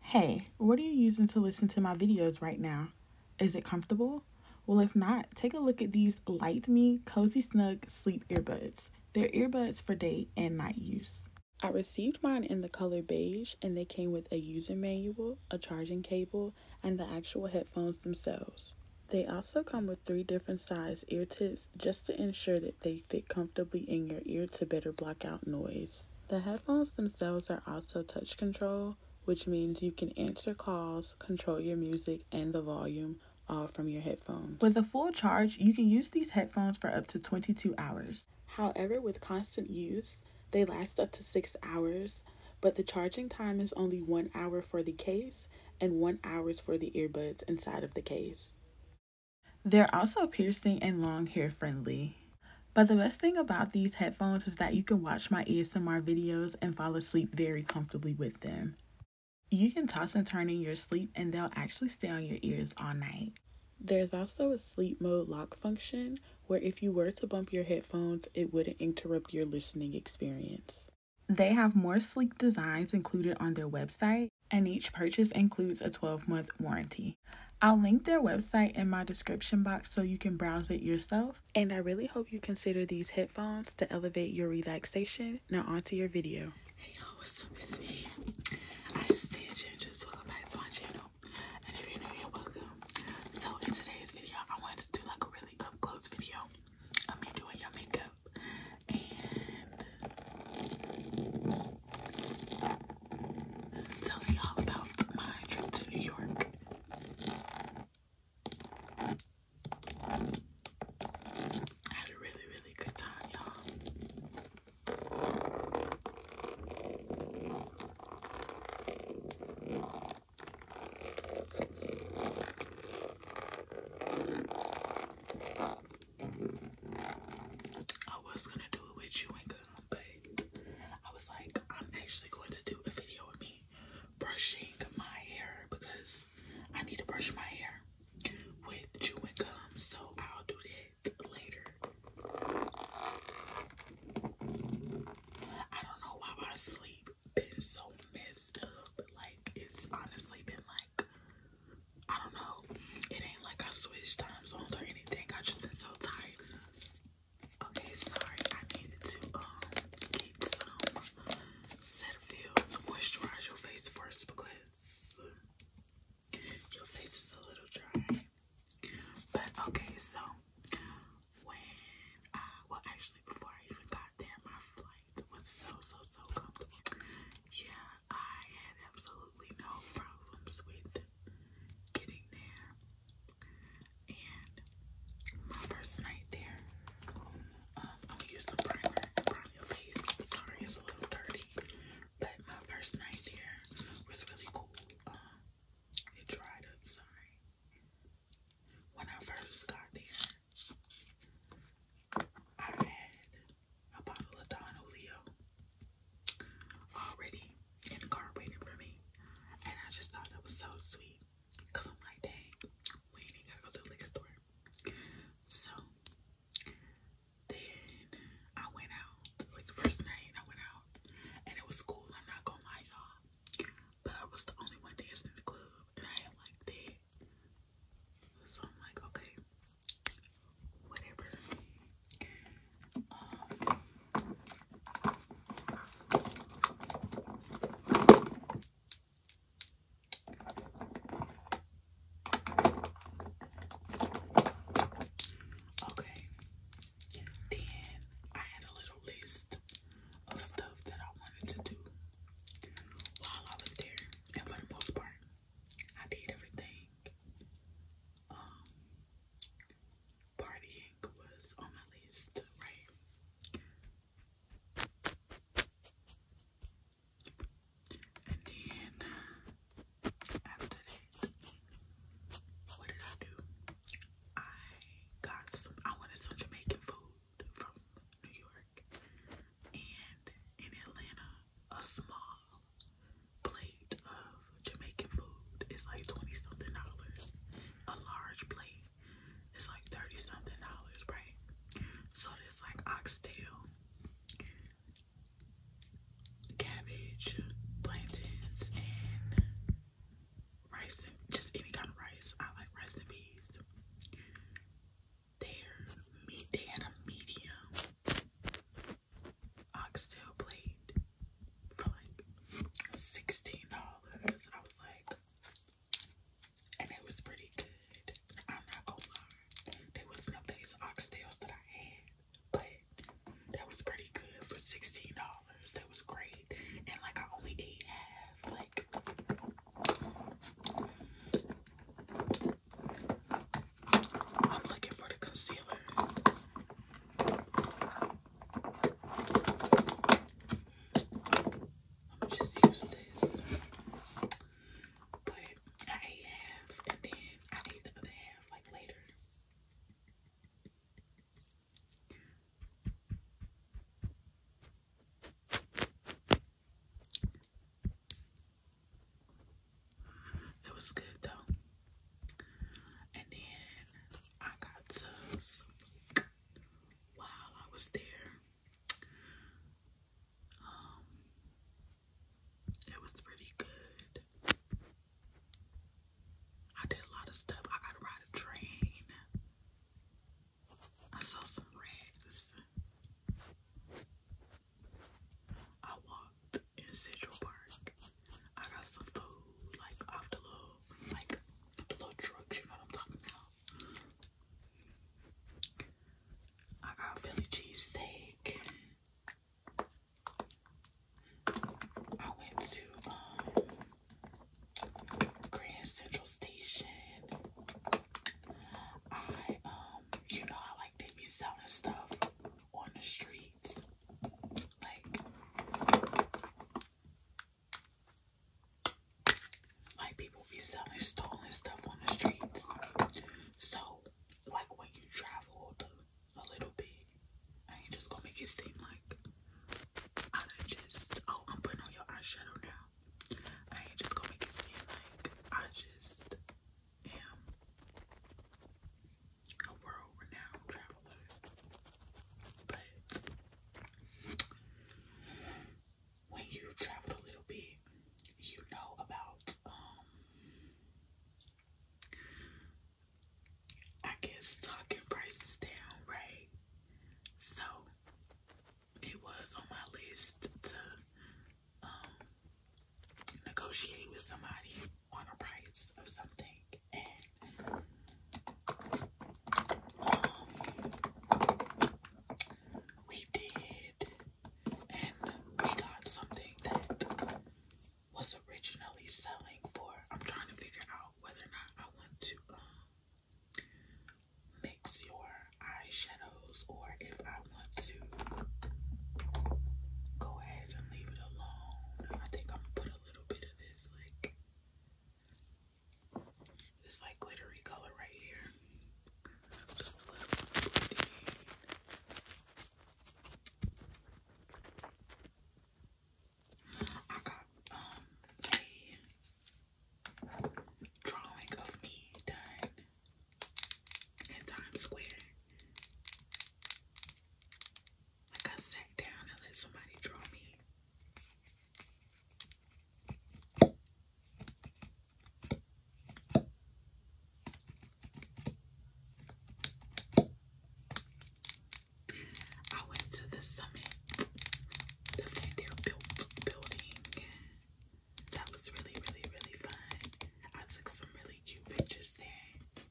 Hey, what are you using to listen to my videos right now? Is it comfortable? Well, if not, take a look at these Light Me Cozy Snug Sleep Earbuds. They're earbuds for day and night use. I received mine in the color beige and they came with a user manual, a charging cable, and the actual headphones themselves. They also come with three different size ear tips just to ensure that they fit comfortably in your ear to better block out noise. The headphones themselves are also touch control, which means you can answer calls, control your music and the volume all from your headphones. With a full charge, you can use these headphones for up to 22 hours. However, with constant use, they last up to 6 hours, but the charging time is only 1 hour for the case and 1 hours for the earbuds inside of the case. They're also piercing and long hair friendly. But the best thing about these headphones is that you can watch my ASMR videos and fall asleep very comfortably with them. You can toss and turn in your sleep and they'll actually stay on your ears all night. There's also a sleep mode lock function where if you were to bump your headphones, it wouldn't interrupt your listening experience. They have more sleek designs included on their website and each purchase includes a 12 month warranty. I'll link their website in my description box so you can browse it yourself. And I really hope you consider these headphones to elevate your relaxation. Now onto your video. Hey y'all, what's up? It's me. I see just welcome back to my channel. And if you're new, you're welcome. So in today's video, I wanted to do like a really up close video of me doing your makeup. Tell me all about my trip to New York. I had a really, really good time, y'all. I was gonna do it with you but I was like, I'm actually going to do a video with me brushing my hair because I need to brush my hair with chewing gum, so I'll do that later. I don't know why my sleep been so messed up. Like it's honestly been like I don't know. It ain't like I switched time zones or anything. I just been so tired. Okay, sorry. I needed to um get some Cetaphil to moisturize your face first because your face is a little dry. But okay, so when I well actually before I even got there, my flight was so so so comfortable. Yeah, I had absolutely no problems with getting there. And my first night there, um, I'm use the primer to your face. Sorry, it's a little dirty, but my first night there was really cool. Um, it dried up. Sorry. When I first got there, I had a bottle of Don Oleo already in the car waiting for me. And I just thought that was so sweet. Cause I'm like, dang, we ain't gotta go to the liquor store. So then I went out like the first night I went out and it was cool. I'm not gonna lie, y'all. But I was the only one dancing in the club and I had like that. So I'm like, okay, whatever. Um, okay, then I had a little list of stuff that I wanted to do while I was there, and for the most part, I did everything um, partying was on my list, right? And then after that, what did I do? I got some, I wanted some Jamaican food from New York and in Atlanta, a small um, plate of Jamaican food is like 20 something dollars. A large plate is like 30 something dollars, right? So there's like oxtail, cabbage, plantains, and rice and just any kind of rice. I like rice and peas. Their meat, they had a medium oxtail plate for like sixteen dollars. I was like, and it was pretty good. I'm not gonna lie, there was no base oxtails that I had, but that was pretty good for sixteen dollars. That was great, and like I only ate half. Like, I'm looking for the concealer. I'm just use this. But I half and then I ate the other half like later. It was good though. And then I got tubs while I was there. Um, it was pretty good. I did a lot of stuff. I got to ride a train. I saw some rats. I walked in Central Park. I got some food, like off the little, like the little trucks, you know what I'm talking about. I got Philly cheesesteak. I went to um Grand Central Station. I um you know I like they be selling stuff on the street. Like, like people be selling stolen stuff on the streets. So, like when you travel a little bit, I ain't just gonna make it seem like I just, oh, I'm putting on your eyeshadow now. I ain't just gonna make it seem like I just am a world renowned traveler, but when you travel a little bit, you know about, um, I guess talking prices down, right? So it was on my list to um negotiate with somebody on a price of something and um, we did and we got something that was originally selling for I'm trying to figure out whether or not I want to um, mix your eyeshadows or if I want to go ahead guys and leave it alone. I think I'm gonna put a little bit of this like this like glittery color right here. I got um, a drawing of me done in Times Square. Like I sat down and let somebody draw me. I went to the summit, the Fandale building. That was really, really, really fun. I took some really cute pictures there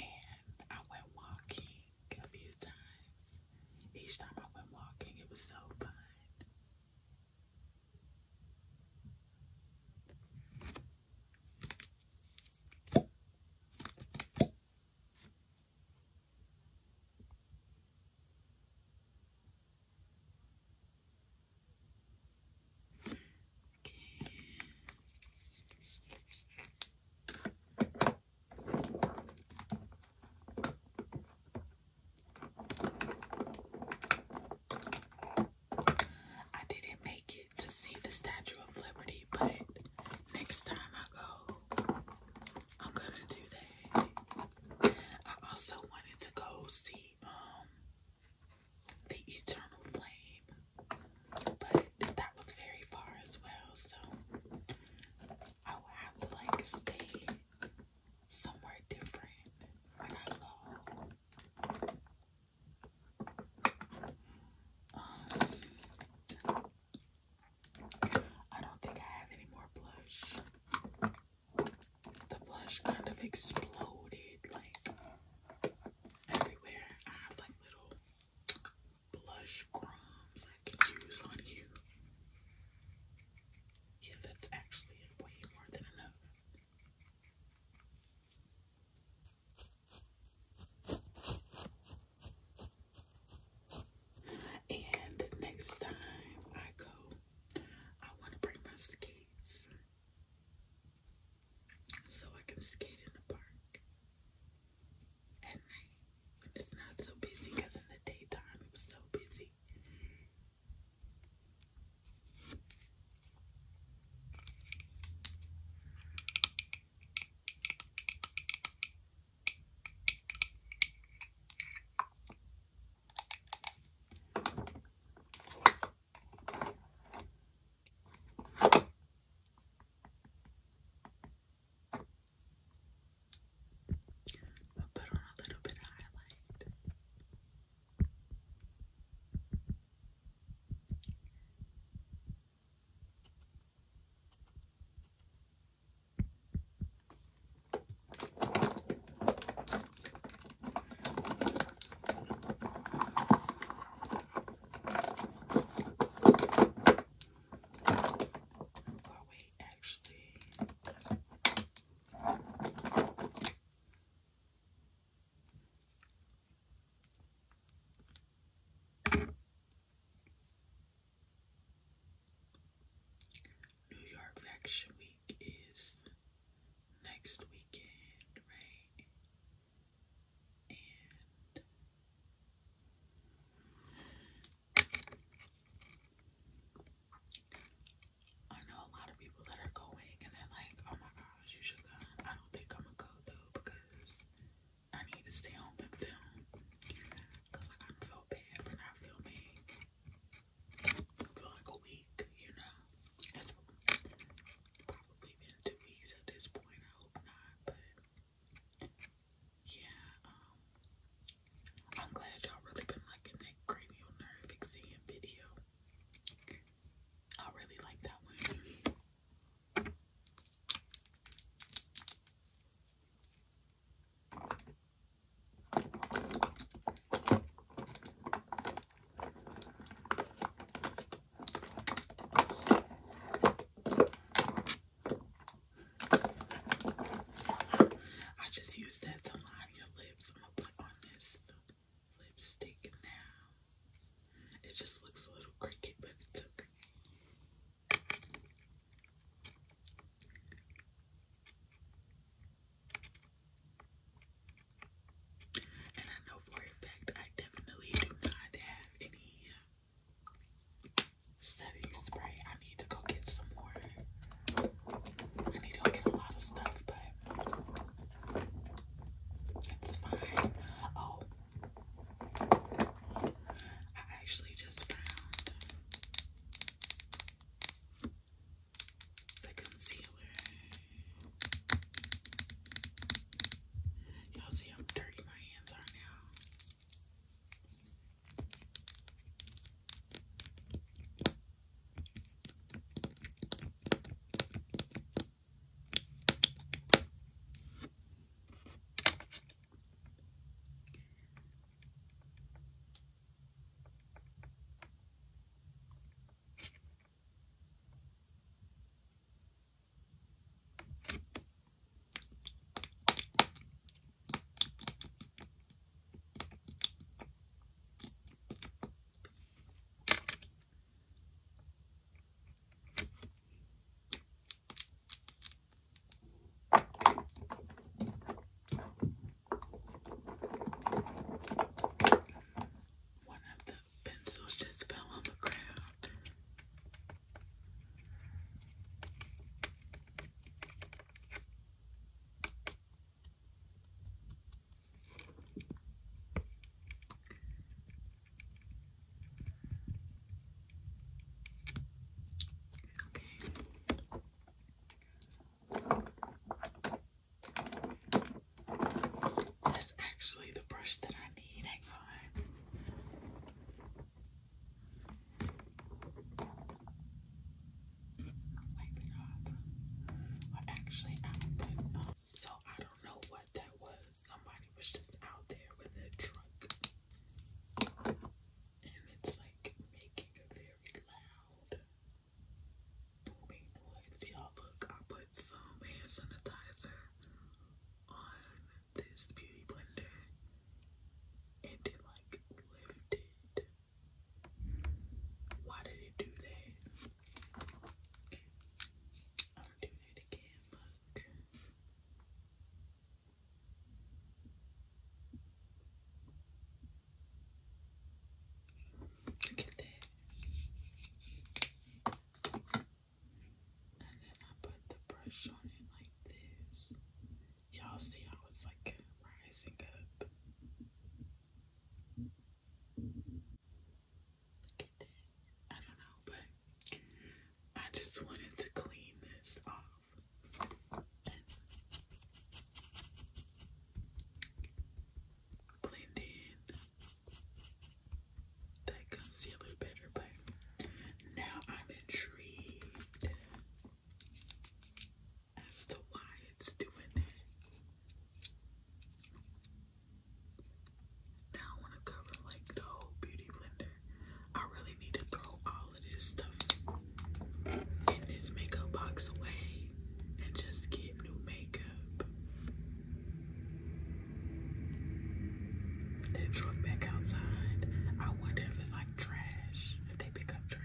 and I went walking a few times. Each time I went walking, it was so fun. I didn't make it to see the Statue of Liberty, but next time I go, I'm gonna do that. I also wanted to go see um the eternal flame. But that was very far as well, so I will have to like stay somewhere different when I love. Um, I don't think I have any more blush. The blush kind of exploded, like everywhere. I have like little blush crumbs I can use on you. Yeah, that's actually way more than enough. And next time I go, I want to bring my skates so I can skate in the park at night when it's not so busy because in the daytime it was so busy. We'll put on a little bit of highlight. Or wait, actually. New York Fashion Week is next weekend, right? I know a lot of people that are going and they're like, oh my gosh, you should go. I don't think I'm gonna go though because I need to stay home and film. Cause like I feel bad for not filming for like a week, you know. That's probably been two weeks at this point. I hope not, but yeah, um, I'm glad y'all really been liking that cranial nerve exam video. I really like that one. I just used that to line your lips. I'm gonna put on this lipstick now. It just looks a little cricket, but it's okay. And I know for a fact I definitely do not have any uh, setting spray. I need to go get some more. I need to get a lot of stuff, but it's fine. Oh, I actually just found the concealer. Y'all see how dirty my hands are now. One of the pencils just fell on the ground. Okay. That's actually the brush that I need. actually, I do so I don't know what that was. Somebody was just out there with their truck. And it's like making a very loud booming noise. Y'all look, put some hand sanitizer on this beauty blender and then like lift Why did it do that? I'm doing it again, look. Look at that. And then I put the brush on it like this. Y'all see how it's like rising up. Look at that. I don't know, but I just wanted to clean this off. Blend in that concealer better, but now I'm intrigued as to why it's doing that. Now I want to cover like the whole beauty blender. I really need to throw all of this stuff in this makeup box away and just get new makeup up. They truck back outside. I wonder if it's like trash, if they pick up trash.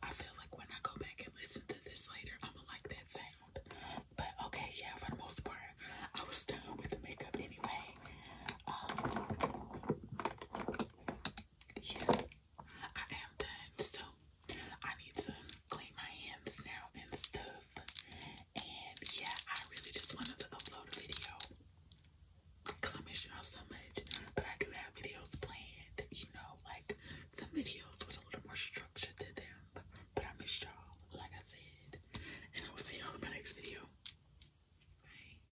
I feel like when I go back and listen to this later, I'm gonna like that sound. But okay, yeah, for the most part, I was done with the makeup anyway. Um, yeah, I am done. So I need to clean my hands now and stuff. And yeah, I really just wanted to upload a video because I miss y'all so much. But I do have videos planned, you know, like some videos with a little more structure to them. But I miss y'all, like I said. And I will see y'all in my next video. Bye.